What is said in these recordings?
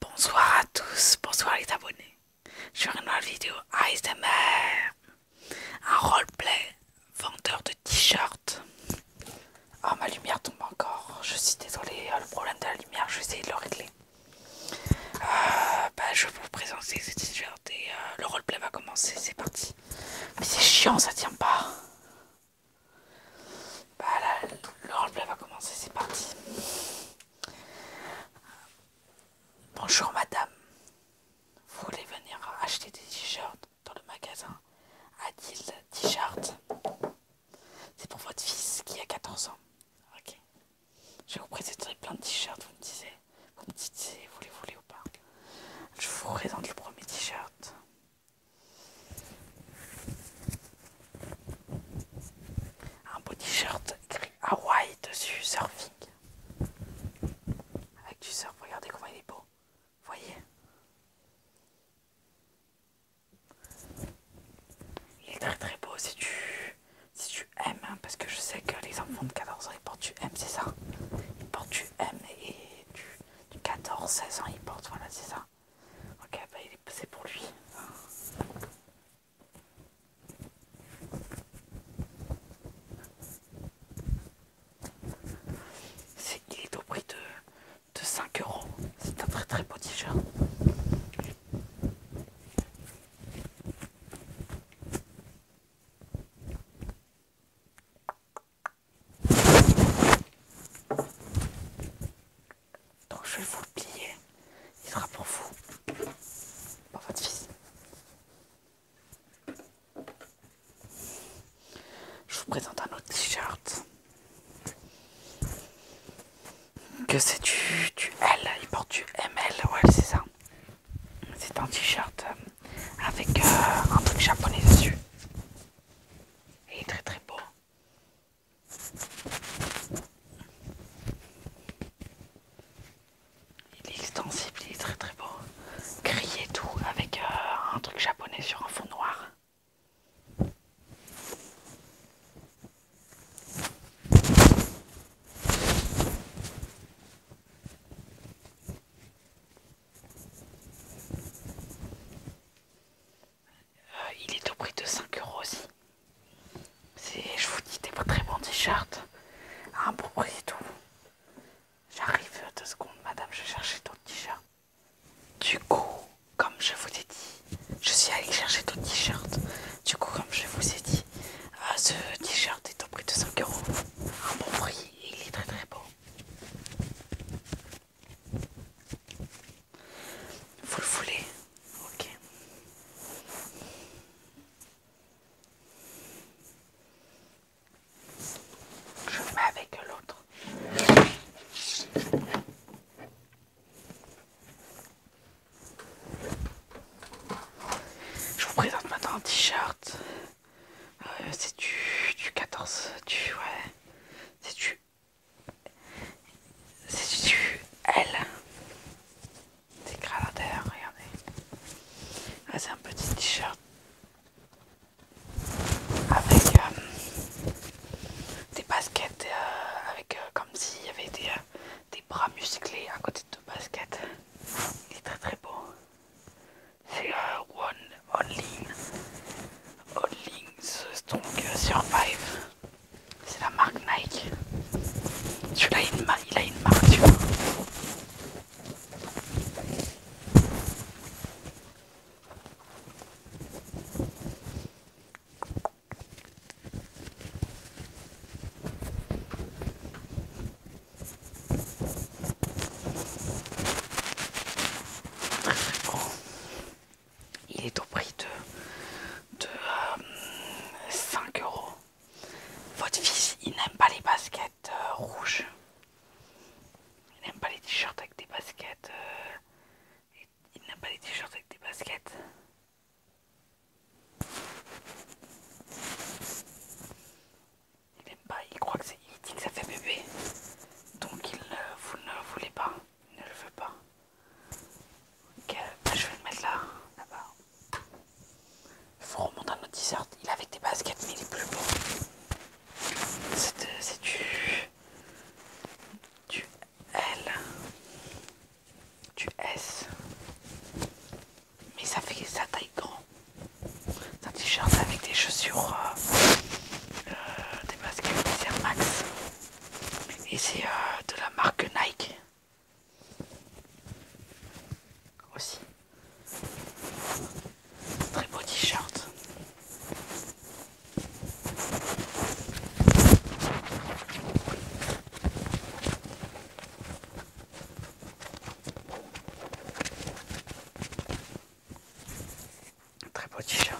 Bonsoir à tous, bonsoir les abonnés. Je suis une la vidéo ASMR. Un roleplay vendeur de t-shirts. Ah, oh, ma lumière tombe encore. Je suis désolé euh, le problème de la lumière, je vais essayer de le régler. Euh, bah, je vais vous présenter ce t-shirt et euh, le roleplay va commencer, c'est parti. Mais c'est chiant, ça tient pas. Bah là, le roleplay va commencer, c'est parti. Bonjour madame. Vous voulez venir acheter des t-shirts dans le magasin Adil T-shirt C'est pour votre fils qui a 14 ans. Ok. Je vous présenterai plein de t-shirts, vous me disiez. Vous me dites si vous les voulez ou pas. Je vous présente le premier t-shirt. Un beau t-shirt écrit Hawaï dessus, surfing. Avec du surf, regardez comment il est beau. Voyez Il est très très beau si tu, si tu aimes, hein, parce que je sais que les enfants de 14 ans ils portent du M, c'est ça Ils portent du M et du, du 14-16 ans ils portent, voilà, c'est ça. Ok, bah, il est passé pour lui. c'est il est au prix de, de 5 euros. C'est un très très beau t-shirt. Donc je vais vous le plier. Il sera pour vous. Pour votre fils. Je vous présente un autre t-shirt. Que c'est du, L. Il porte du ML. Ouais, c'est ça. C'est un t-shirt euh, avec euh, un truc japonais dessus. Il est très très beau. Il est extensible, il est très très beau. crier tout, avec euh, un truc japonais sur un fond noir. Euh, il est au prix de 5 euros aussi. Je vous dis des très bons t-shirts à un bon prix et tout. J'arrive deux secondes, madame, je cherchais chercher t shirt Du coup, comme je vous ai dit, je suis allé chercher ton t shirt Du coup, comme je vous ai dit, euh, ce t-shirt est au prix de 5 euros. Un bon prix, il est très très beau. Vous le voulez Ok. Je mets avec l'autre. Je vous présente maintenant un t-shirt euh, c'est du, 14, du. Ouais. C'est du. C'est du L. C'est regardez. Ah, c'est un petit t-shirt. Avec euh, des baskets, euh, avec comme s'il y avait des, des bras musclés à côté de baskets. Il est très très beau c'est un euh, One Only Only donc Survive. C'est la marque Nike. Celui-là il, il a une marque Oh. Il est au prix de, de 5 euh, euros. Votre fils, il n'aime pas les baskets euh, rouges. Il n'aime pas les t-shirts avec des baskets. Euh, il n'aime pas les t-shirts avec des baskets. Il aime pas, il croit que c'est. Il dit que ça fait bébé. Donc il ne, vous ne le voulait pas. Il ne le veut pas. Ok, bah, je vais le mettre là, là-bas. Il faut remonter à notre t-shirt. Il avait des baskets, mais il est plus beau. C'est euh, du. du L. Du S mais ça fait sa taille grand. C'est un t-shirt avec des chaussures, euh, euh, des baskets, Air Max. Et c'est euh, de la marque Nike. Aussi. Très beau t-shirt. Très beau t-shirt.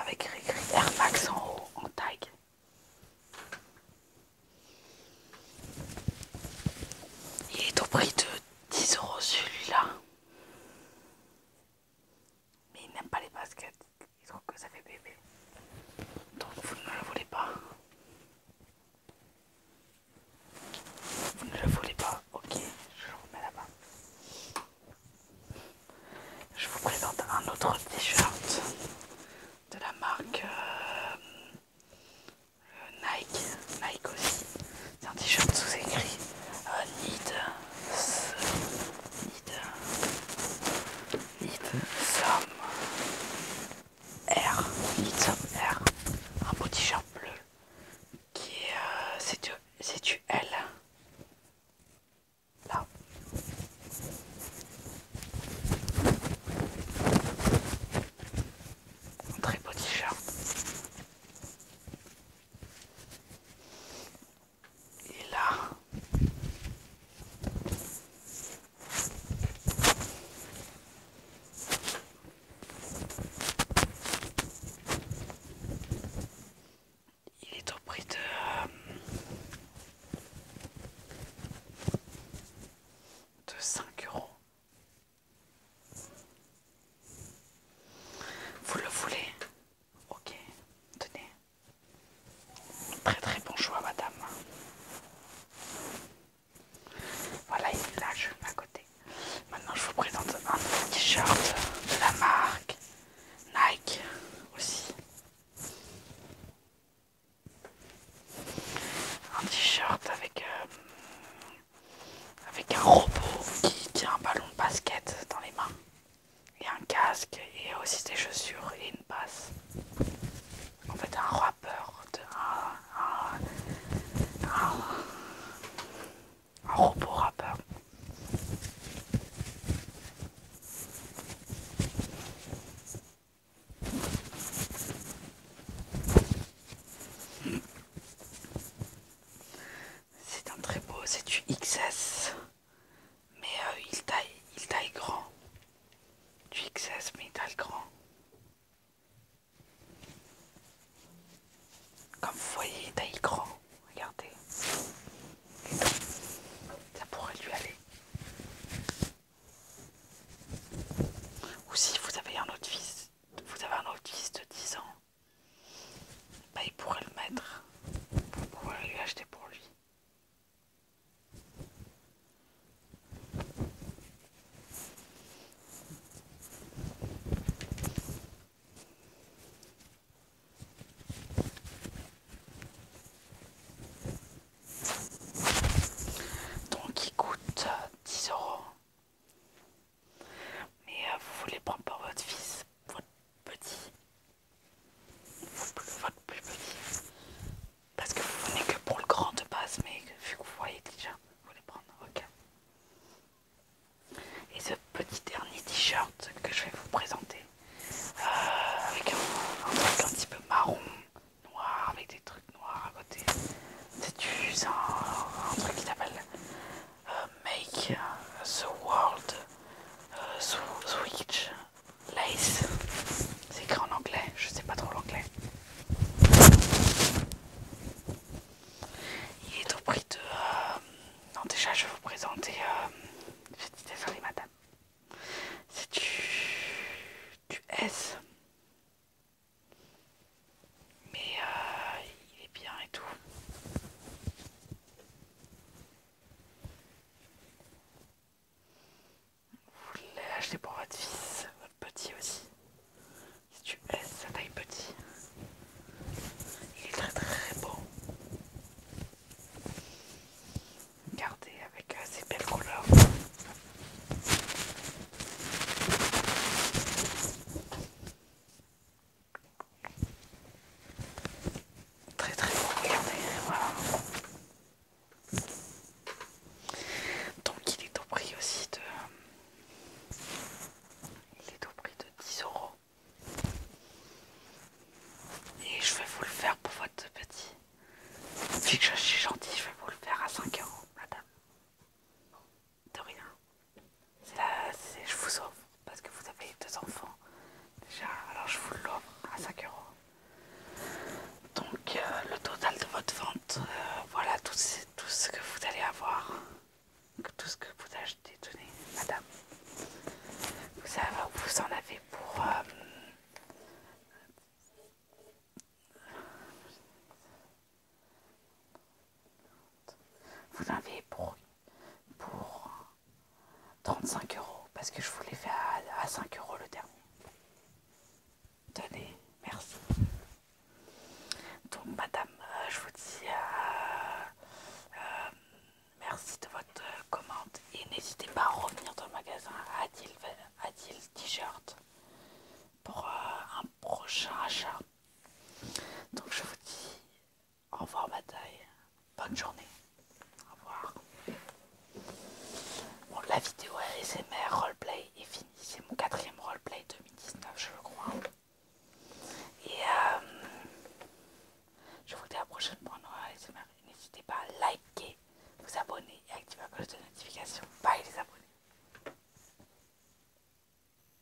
Avec écrit Air Max en haut, en tag. Il est au prix de 10 euros celui-là. Mais il n'aime pas les baskets. Il trouve que ça fait bébé. Donc vous ne le voulez pas. Vous ne le voulez pas Ok, je le remets là-bas. Je vous présente un autre t-shirt de la marque euh, Nike. Nike aussi. C'est un t-shirt sous-écrit euh, Need Need, need, need some R, R, un petit t bleu qui est, euh, c'est du, c'est du L, là. Un très beau t-shirt. Et là, il est au prix de euh, de 5 euros. Vous le voulez Ok, tenez. Très très bon choix, madame. Voilà, il est là, je à côté. Maintenant, je vous présente un t-shirt de la marque Nike aussi. Un t-shirt avec, euh, avec un robot qui tient un ballon de basket dans les mains. Et un casque et aussi des chaussures et une passe en fait un rappeur, un, un robot rappeur. C'est un très beau, c'est du XS. Mais euh, il, taille, il taille grand. Du XS, mais il taille grand. Comme vous voyez, il taille grand. Regardez. ça pourrait lui aller. Ou si vous avez un autre fils, vous avez un autre de 10 ans, bah, il pourrait le mettre. Vous pouvoir lui acheter pour lui. Donc il coûte 10 euh, euros. Mais euh, vous voulez prendre par votre fils, votre petit plus, votre plus petit. Parce que vous venez que pour le grand de base, mais vu que vous voyez déjà, vous voulez prendre ok. Et ce petit dernier t-shirt que je vais vous présenter, euh, avec un, truc un petit peu marron, noir, avec des trucs noirs à côté. C'est un, truc qui s'appelle euh, Make the World switch euh, lace. C'est écrit en anglais, je sais pas trop l'anglais. Il est au prix de. Euh, non, déjà, je vais vous présenter. Euh, madame. C'est du... du S. Mais il est bien et tout. Vous l'avez acheté pour votre fils, votre petit aussi. Si tu laisses sa taille petit, il est très très beau. Regardez avec euh, ses belles couleurs. Très très beau, voilà. Donc il est au prix aussi de... Il est au prix de 10 euros. Et je vais vous le faire pour votre petit. Vu que je suis gentille, je vais vous le faire à 5 euros, madame. De rien je vous offre parce que vous avez deux enfants déjà, alors je vous l'offre à 5 euros. Donc euh, le total de votre vente, euh, voilà tout, tout ce que vous allez avoir, tout ce que vous achetez, tenez, madame. Vous, savez, vous en avez pour... Euh, vous l'avez pour, pour 35 euros parce que je vous l'ai fait à, 5 euros le dernier. Tenez, merci. Donc madame, euh, je vous dis euh, euh, merci de votre commande et n'hésitez pas à revenir dans le magasin Adil T-shirt pour un prochain achat. Donc je vous dis au revoir bataille, Bonne journée. Au revoir. Bon, la vidéo ASMR roleplay est finie. C'est mon quatrième roleplay 2019, je le crois. Et euh, je vous dis à la prochaine pour un ASMR. N'hésitez pas à liker, vous abonner et activer la cloche de notification. Bye les abonnés.